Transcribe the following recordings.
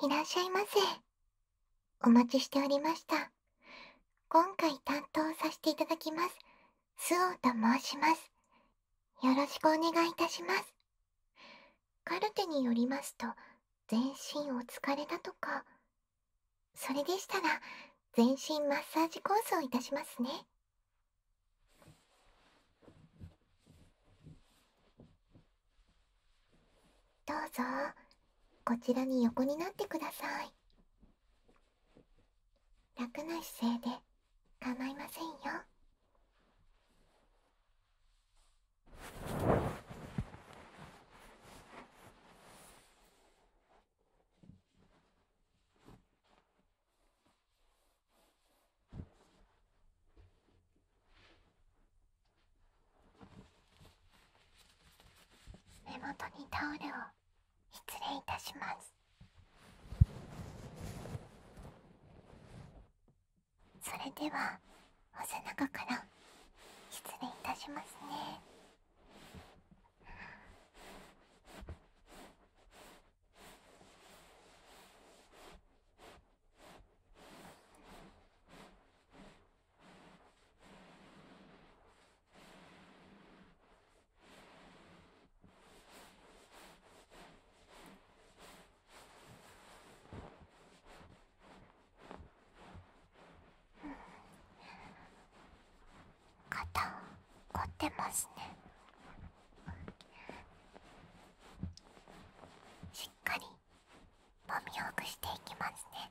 いらっしゃいませ。お待ちしておりました。今回担当させていただきます。スオと申します。よろしくお願いいたします。カルテによりますと、全身お疲れだとか。それでしたら、全身マッサージコースをいたしますね。どうぞこちらに横になってください楽な姿勢で構いませんよ目元にタオルを失礼いたしますそれではお背中から失礼いたしますね肩凝ってますねしっかりもみほぐしていきますね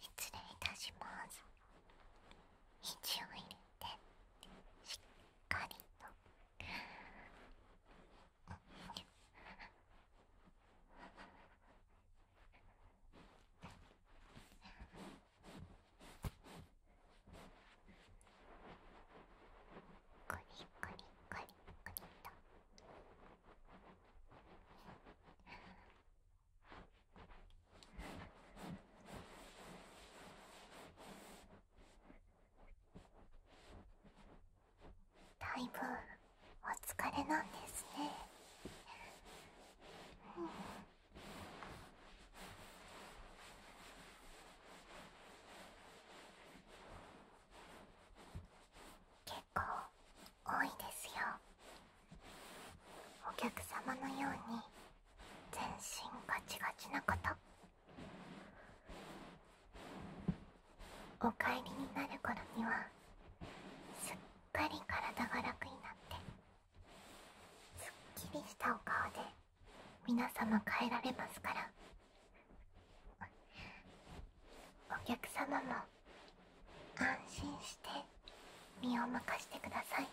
失礼いたします一を入れてしっかりとコリコリコリコリと。だいぶお疲れなんですね、結構多いですよ。お客様のように全身ガチガチなことお帰りになる頃にはすっかり体が楽になってすっきりしたお顔で皆様帰られますからお客様も安心して身を任してくださいね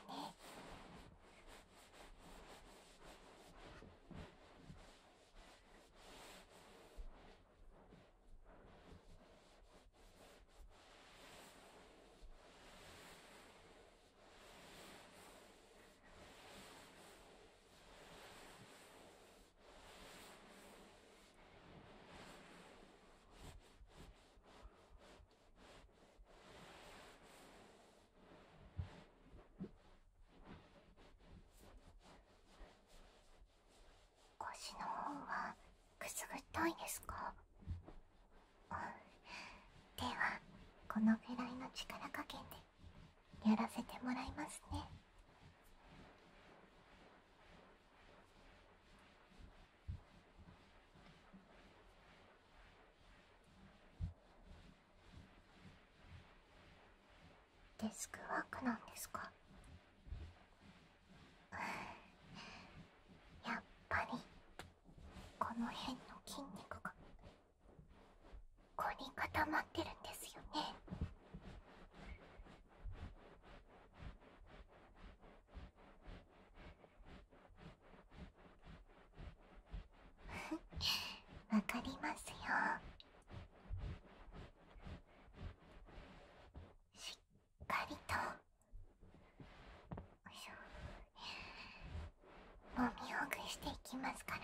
腰の方はくすぐったいですかではこのくらいの力加減でやらせてもらいますねデスクワークなんですかやっぱりこの辺の筋肉がここに固まってるんですよね わかりますよしっかりともみほぐしていきますからね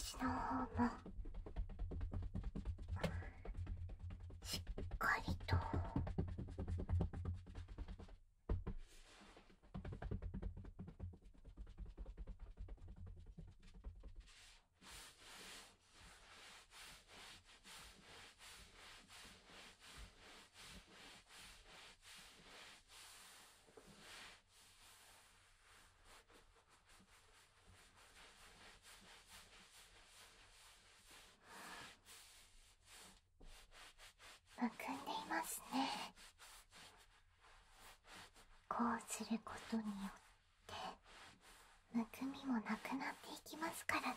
足の方もしっかりと。むくんでいますねこうすることによってむくみもなくなっていきますからね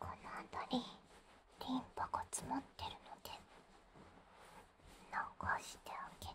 この辺りリンパが詰まってるので流してあげて。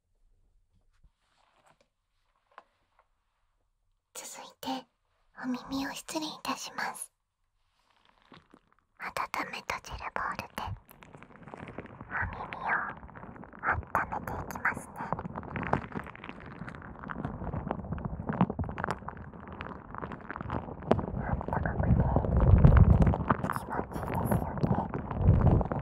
続いてお耳を失礼いたします温め閉じるボールでお耳を温めていきますねあったかくて気持ちいいですよね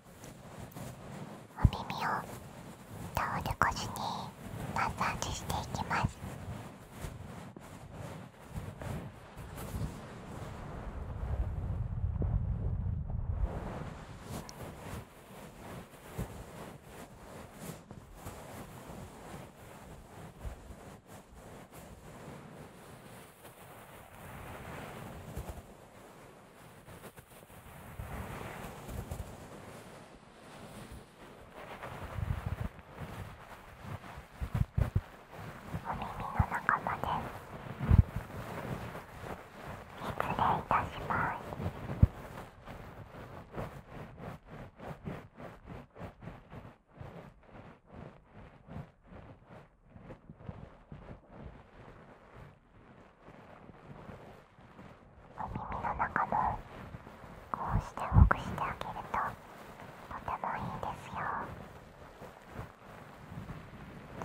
お耳を倒れ、ル越しにマッサージしていきます耳耳の仲間です失礼いたします耳の中もこうしてほぐしてあげるととてもいいですよ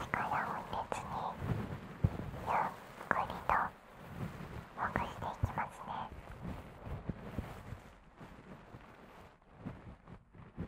力を入れずにゆっくりとほぐしていきますね耳の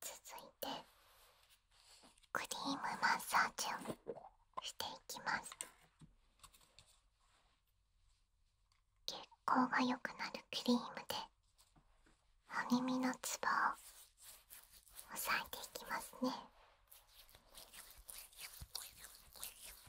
続いてクリームマッサージをしていきます血行が良くなるクリームでお耳のツボを押さえていきますね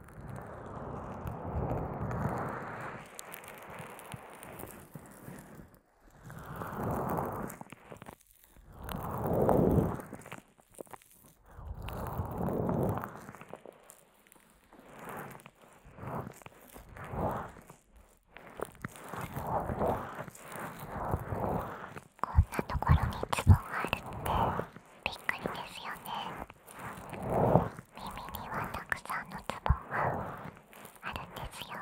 こんなところにツボがあるってびっくりですよね。耳にはたくさんのツボがあるんですよ。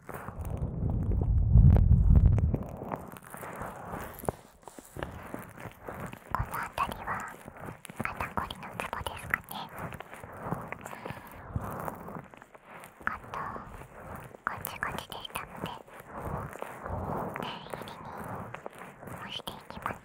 この辺りは肩こりのツボですかねあとゴチゴチでしたので念入に押していきますね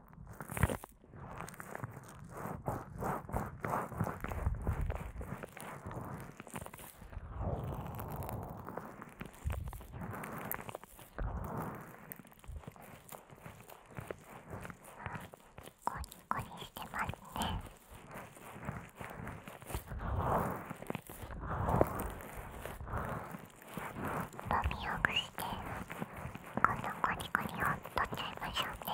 コニコニしてますね。飲みほぐして今度コリコリをとっちゃいましょうね。…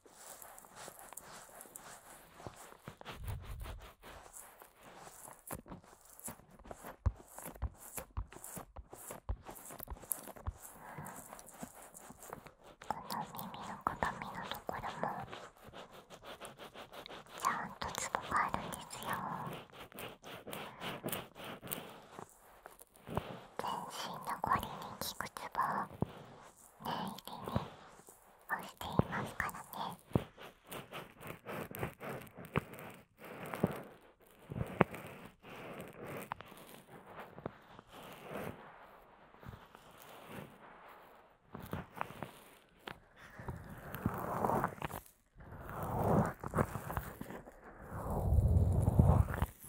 この鏡のところもちゃんとつボがあるんですよ全身の凝りに効くツボを念入りに押していますからね。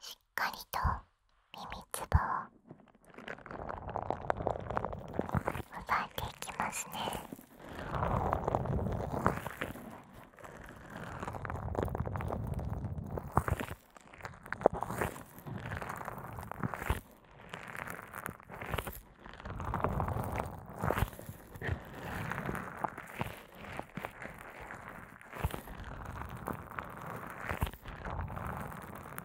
しっかりと耳つぼを押えていきますね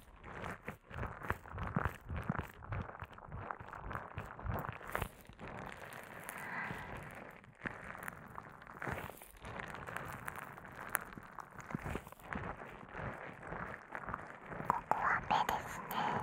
こは目ですね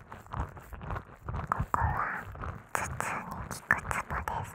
ここは頭痛に効くツボです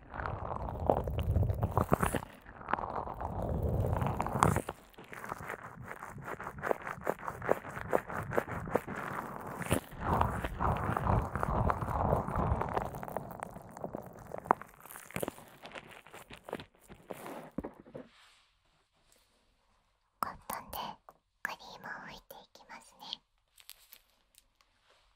コットンでクリームを拭いていきますね。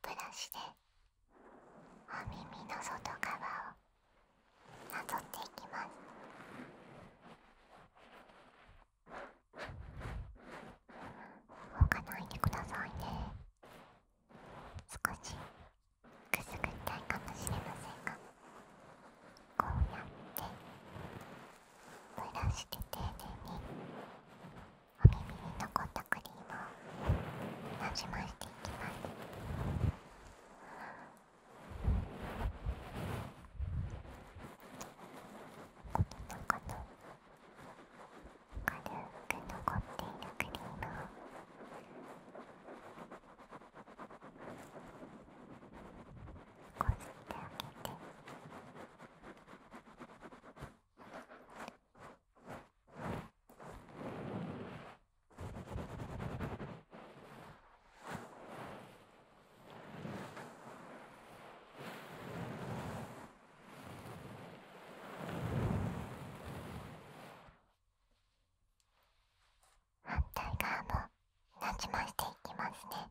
ブラシでお耳の外側をなぞっていきます。動かないでくださいね。少しくすぐったいかもしれませんが、こうやってブラシで丁寧に。お耳に残ったクリームをなじましていきますこ軽く残っているクリームをこすってあげて。反対側もなじませていきますね。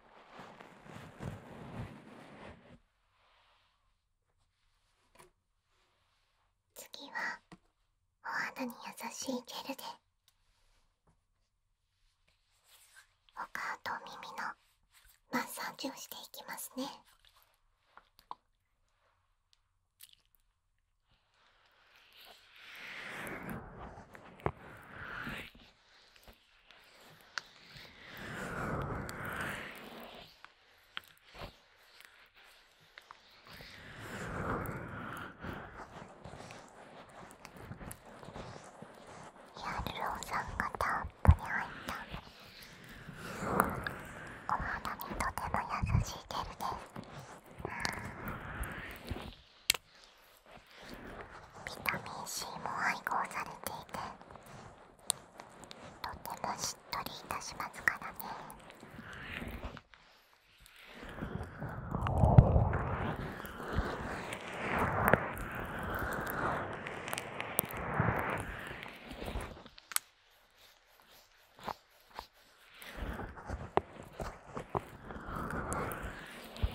次はお肌に優しいジェルでお顔と耳のマッサージをしていきますね。ヤルロウさんがタンプに入ったお肌にとても優しいジェルですビタミン C も配合されていてとてもしっとりいたしますからね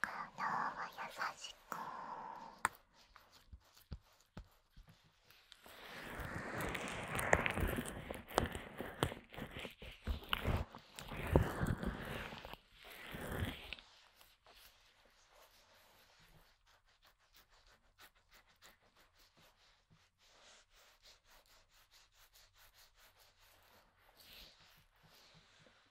体を優しく。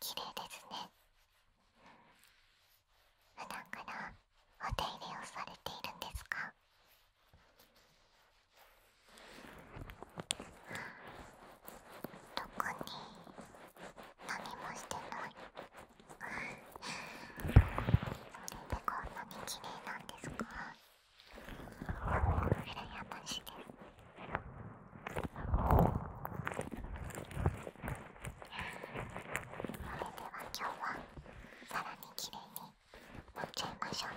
綺麗ですね普段からお手入れをされているんですか特に何もしてないそれでこんなに綺麗なんですか羨ましいですれでは、今日はさらに綺麗に塗っちゃいましょうね。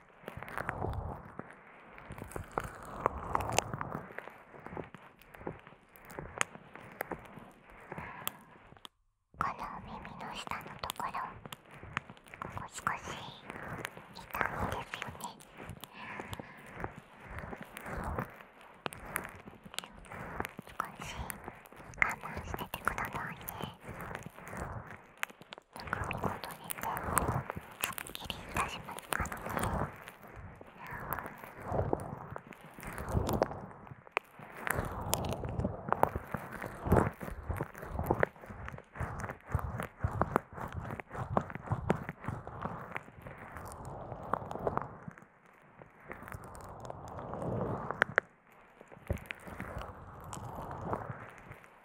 お耳の下のところ少し痛みですよね少し我慢しててくださいね。本当に全部をすっきりいたしますからね。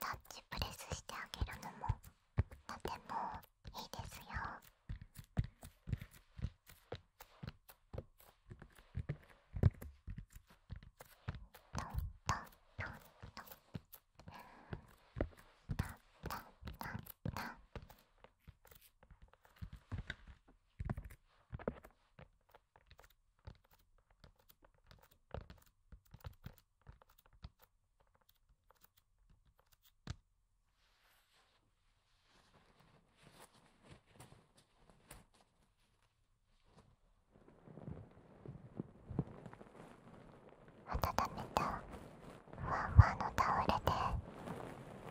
タッチプレスしてあげるのもとてもいいですよ。トントントントンタンタンタンタン温めたまんまのタオルで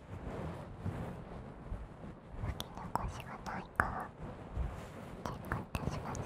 き残しがないかチェックいたしますね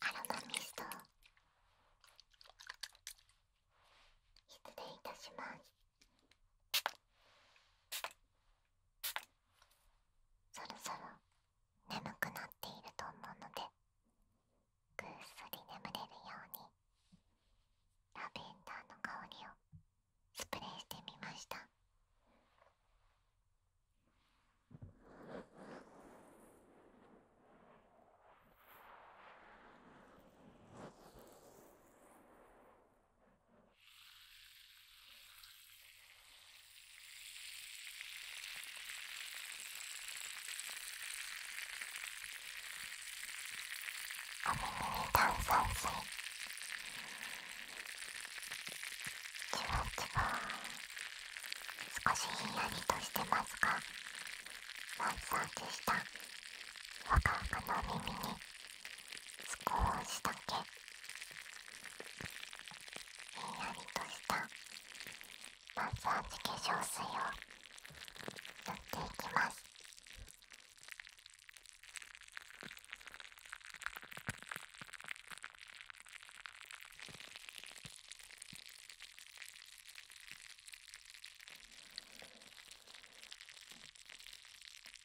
アロマミスト失礼いたします。そろそろ眠くなっていると思うのでぐっすり眠れるようにラベンダーの香りをスプレーしてみました。あのー、炭酸水気持ちが少しひんやりとしてますがマッサージしたわかわの耳に少しだけんやりとしたマッサージ化粧水を塗っていきます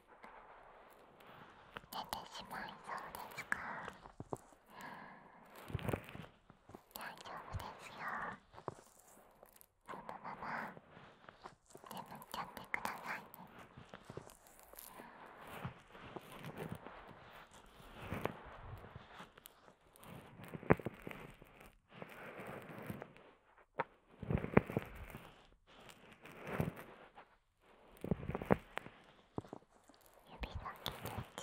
てしまいそうですか大丈夫ですよそのまま眠っちゃってくださいね指先でじっくりと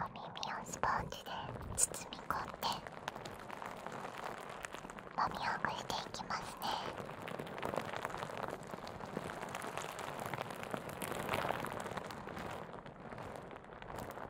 お耳をスポンジで包み込んでもみほぐしていきますね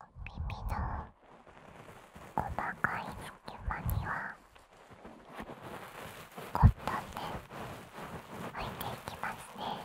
耳の細かい隙間にはコットンで拭いていきますね耳の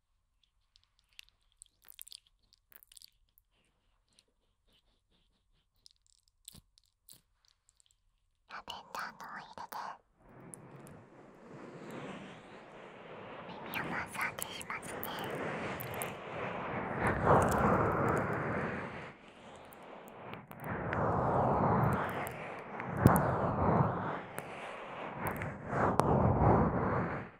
ラベンダーのオイルで耳をマッサージしますね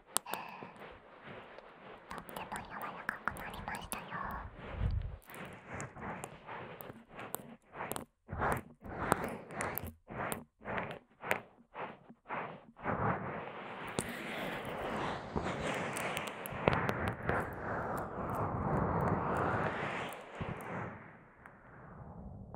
とっても柔らかくなりましたよ。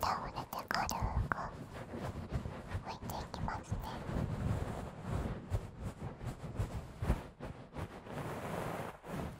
倒れてくる子置いていきますね。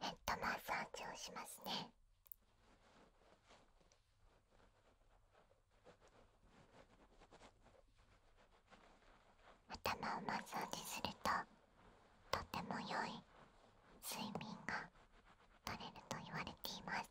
ヘッドマッサージをしますね頭をマッサージするととても良い睡眠が取れると言われています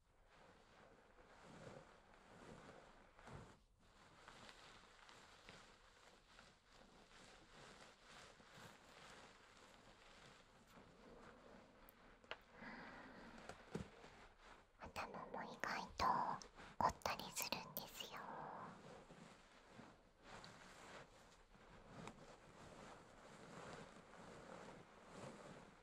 頭も意外と凝ったりするんですよ。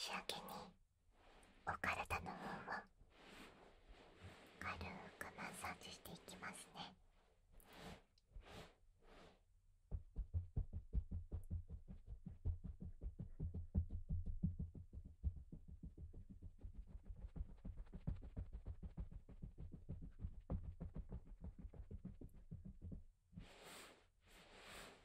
仕上げにお体の方は軽くマッサージしていきますね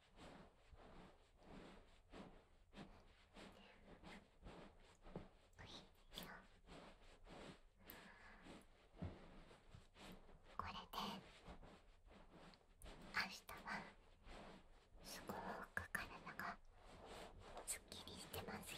これで明日はすごく体がすっきりしてますよ。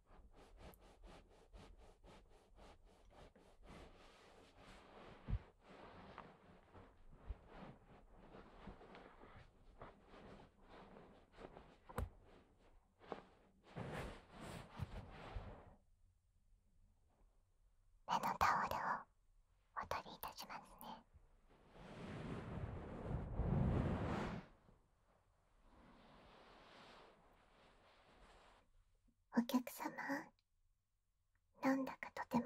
目のタオルをお取りいたしますね。お客様なんだかとても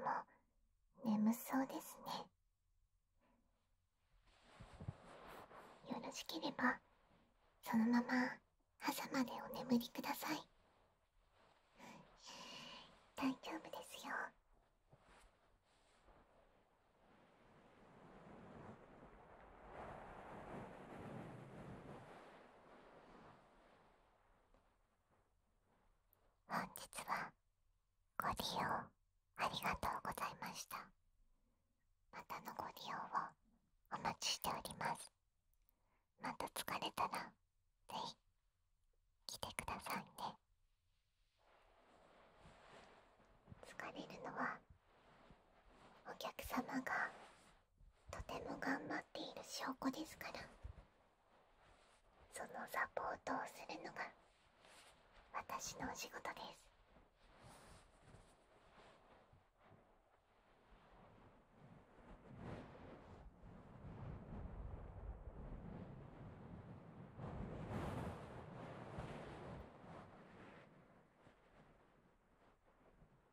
眠そうですねよろしければそのまま朝までお眠りください大丈夫ですよ本日はご利用ありがとうございましたまたのご利用をお待ちしておりますまた疲れたらぜひ来てくださいね疲れるのはお客様がとても頑張っている証拠ですからそのサポートをするのが私のお仕事です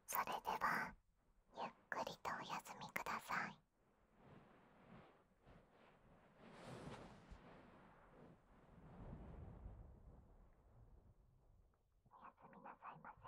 それではゆっくりとお休みください。おやすみなさいませ。